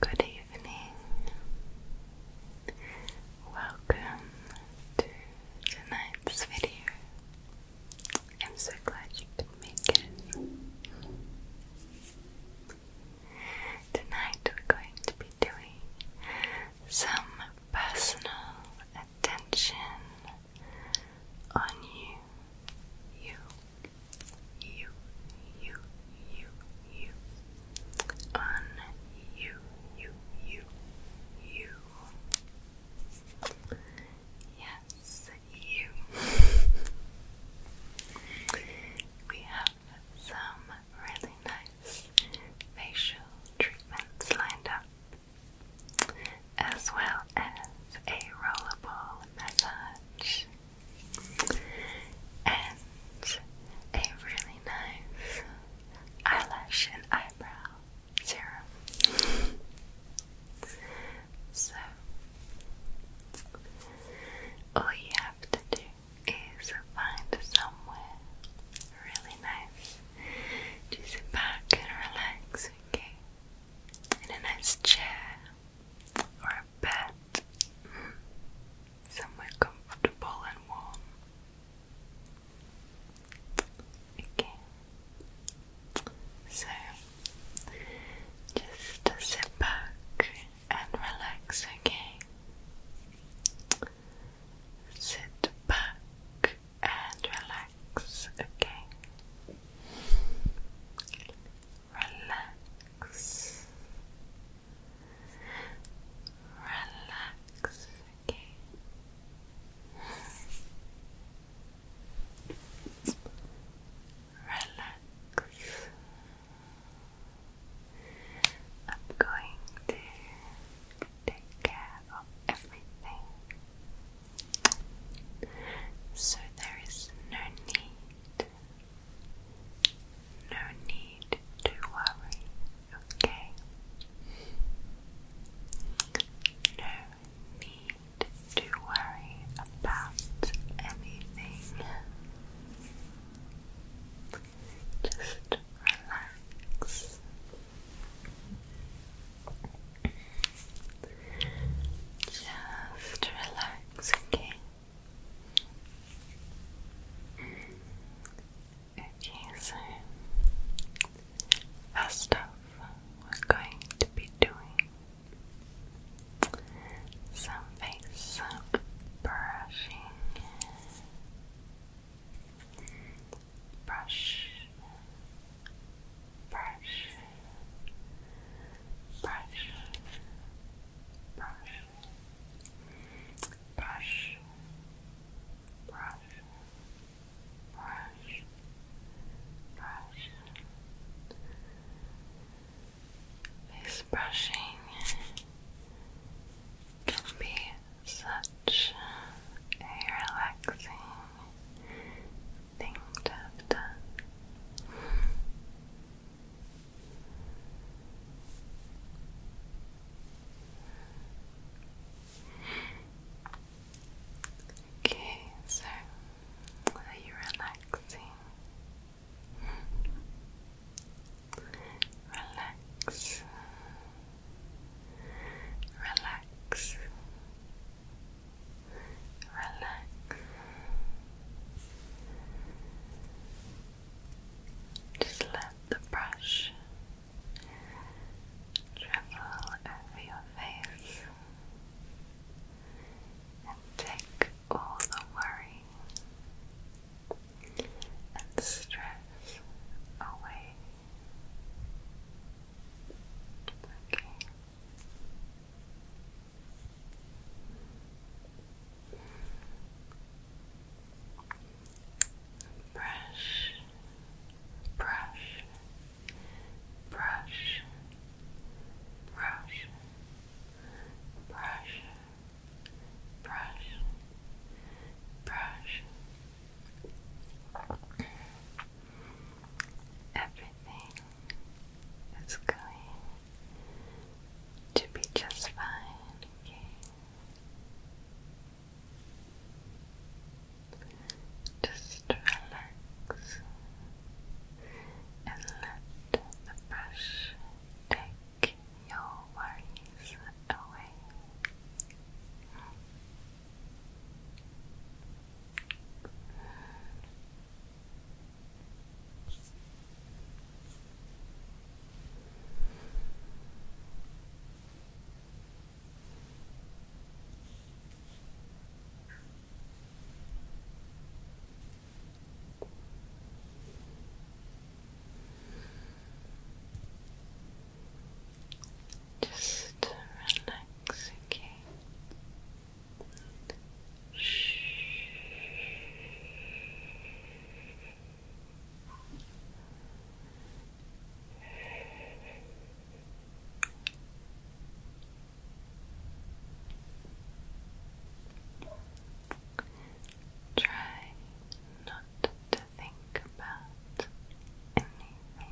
Good evening. Welcome to tonight's video. I'm so glad you could make it. Tonight we're going to be doing some personal attention on you you, you, you, you, you, on you, you, you, you. Yes, you. we have some really nice facial treatments lined up, as well as a rollable massage and a really nice eyelash and eyebrow serum. so, all you have to do is find somewhere really nice to sit back and relax, okay? In a nice chair or bed, somewhere comfortable and warm. Okay, so just sit back and relax, okay? Sit back and relax, okay? Relax relax, okay. Relax. I'm going to take care of everything. So there is no need no need to worry, okay? No need to worry about anything. Just relax. Just relax, okay? Okay, so first off, we're going to be doing some face brushing. brush, brush, brush, brush, brush, brush, brush, brush. Face brushing can be such a relaxing thing to have Okay, so are you relaxing? Relax. Relax. Relax. Just let the brush travel over your face and take all the worry and stress away. Okay brush, brush, brush, brush, brush, brush, brush. Everything is going to be just fine, okay? Just relax and let the brush take your worries away. Just relax again. Try not to think about anything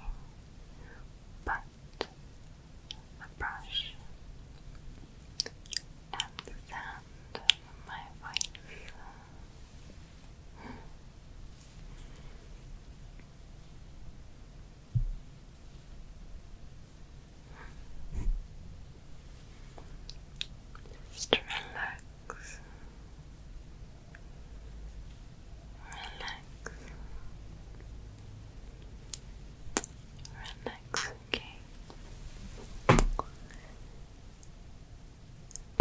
but the brush and my voice. Just relax, relax, relax next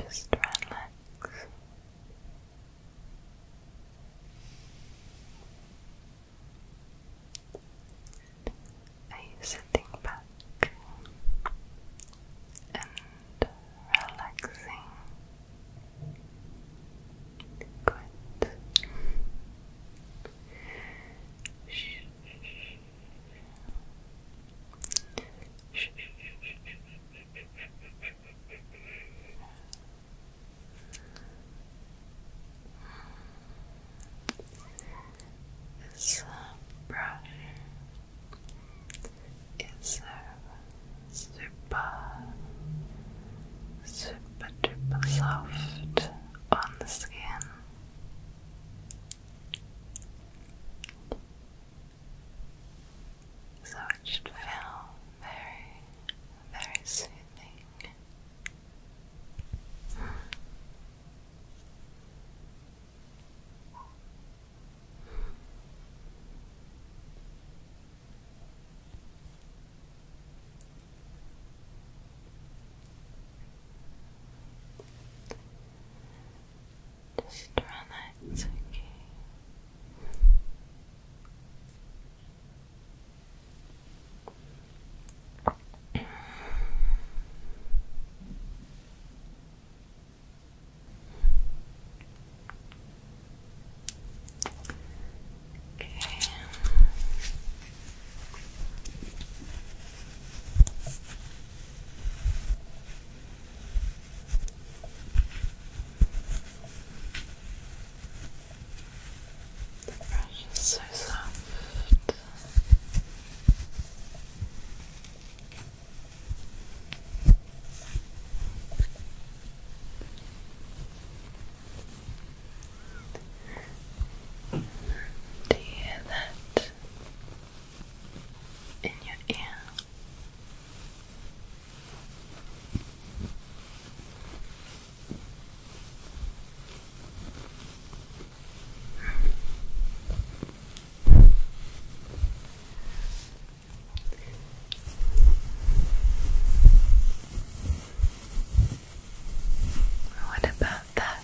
Just relax. Are you sitting back and relaxing? Good. shh. This brush is a super, super soft on the skin. So it should feel very, very soothing. Just relax, okay. Okay. The brush is so soft. Do you hear that? in your ear. What about that?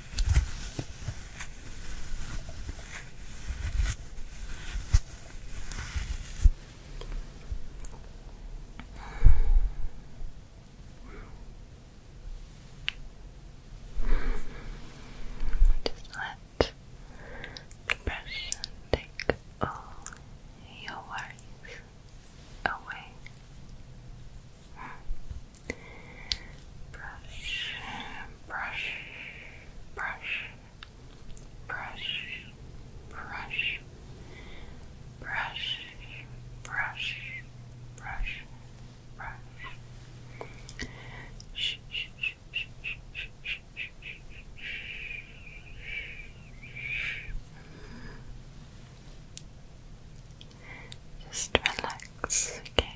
Just let depression take all your worries away. Brush, brush, brush, brush, brush, brush, brush, brush, brush. Shh, shh, shh, shh, shh, shh, shh, shh. Just relax, okay.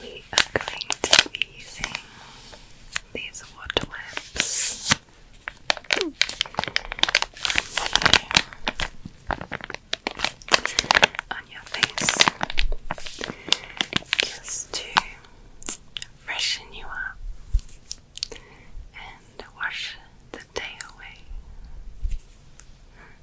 We are going to be using these water wipes. On your face, just to freshen you up and wash the day away.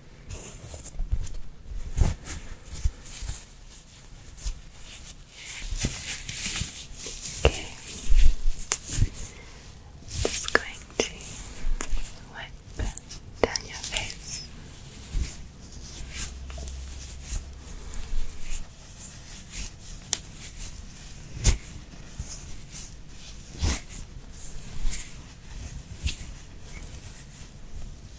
Okay. Just going to wipe down your face.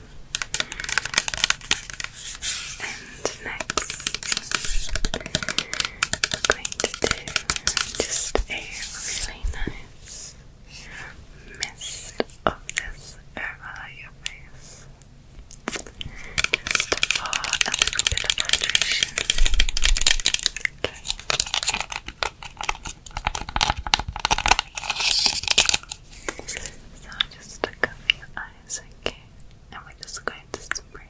And next, I'm going to do just a really nice mist of this over your face. Just for a little bit of hydration. Okay. So just cover your eyes, okay? And we're just going to spray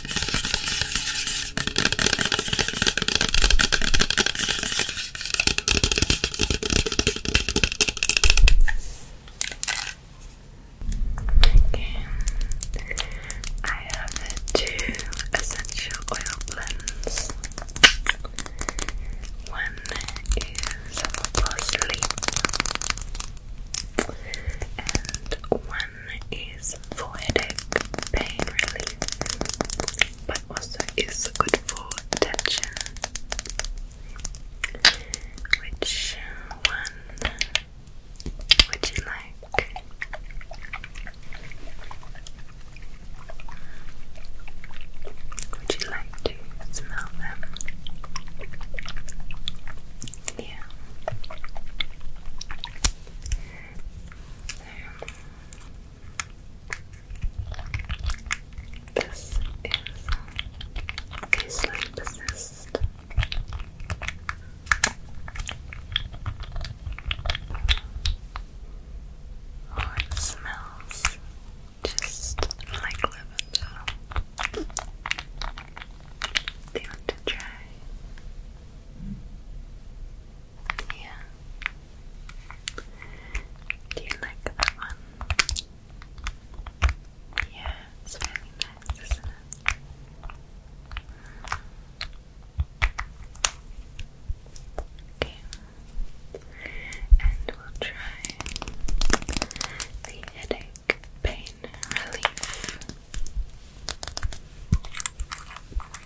Okay. I have two essential oil blends. One is for sleep, and one one is for headache pain relief, but also is good for tension. Which one would you like? Would you like to smell them? Yeah. Um, this is a sleep Oh, it smells just like lavender. Do you want to try? Yeah. Do you like that one? Yeah, it's really nice, Okay. And we'll try the headache pain relief.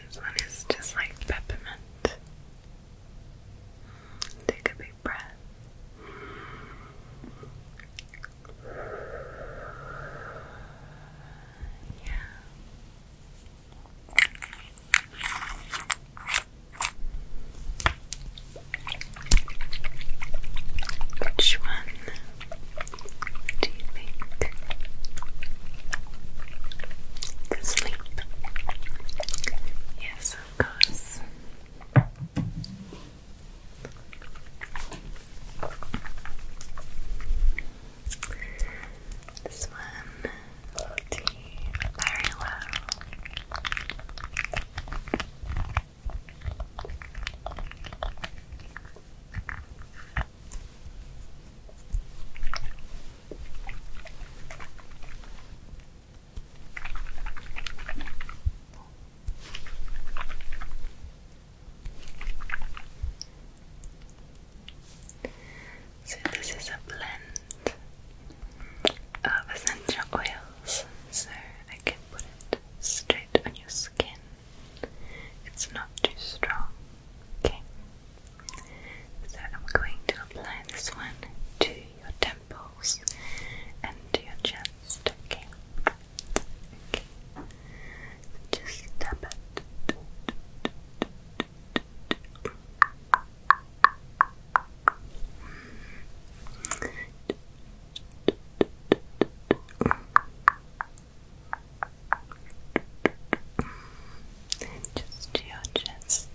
This one is just like peppermint. Take a big breath. Yeah. Which one do you think? The sleep. Yes, of course. This one, oh very low. So, this is a blend of essential oils so I can put it straight on your skin. It's not too strong. Okay. So I'm going to apply this one to your temples and to your chest. Okay. Just tap it. Just to your chest.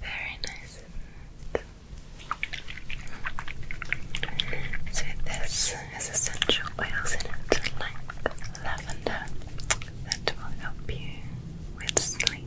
Very nice. So this is essential oils in it, like lavender, that will help you with sleep.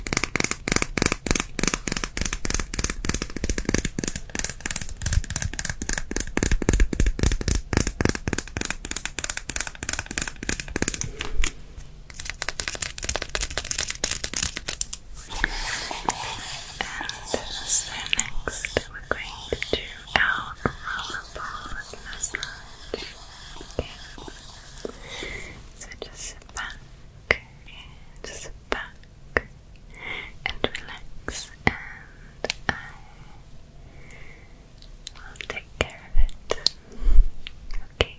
so next we're going to do our rollerball massage. So just sit back, just back and relax, and I will take care of it. Okay.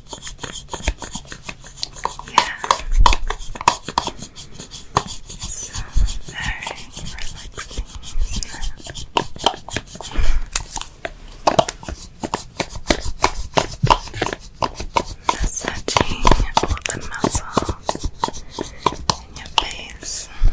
Yeah. so very relaxing, is all the muscles in your face. Yeah.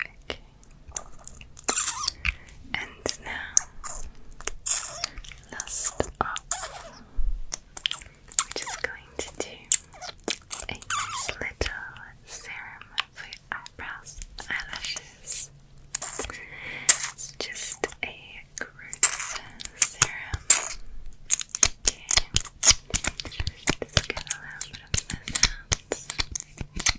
Okay. And now, last up, we're just going to do a little serum for your eyebrows, eyelashes. It's just a gross serum. Okay. Just get a little bit of this out.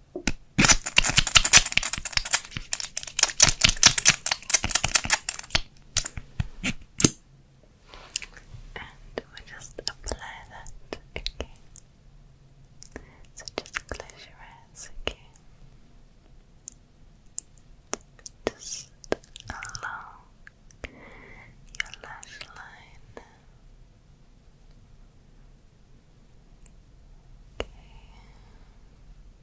And we just apply that, okay? So just close your eyes, okay? Just along your lash line. Okay.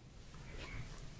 eyebrows.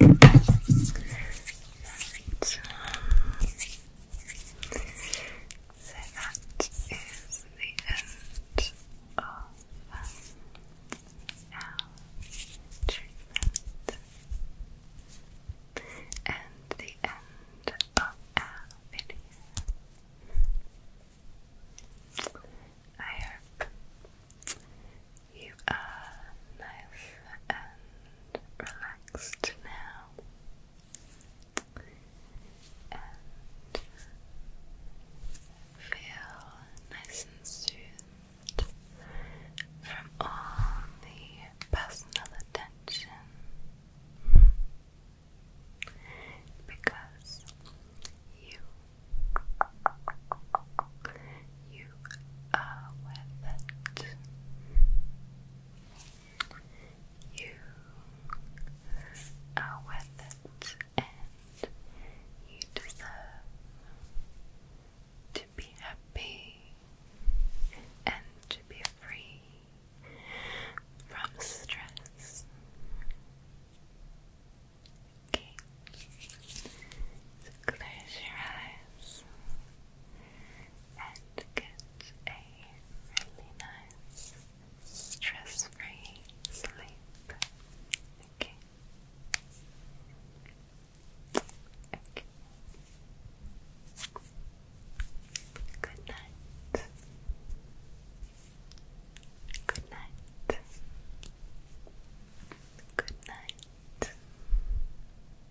Right. So that is the end of our treatment and the end of our video. I hope you are nice and relaxed now and feel nice and soothed from all the personal attention because you you are worth it. You are worth it and you deserve to be happy and to be free from stress. Okay, so close your eyes and get a really nice stress-free sleep. Okay. Okay. Good night. Good night. Good night.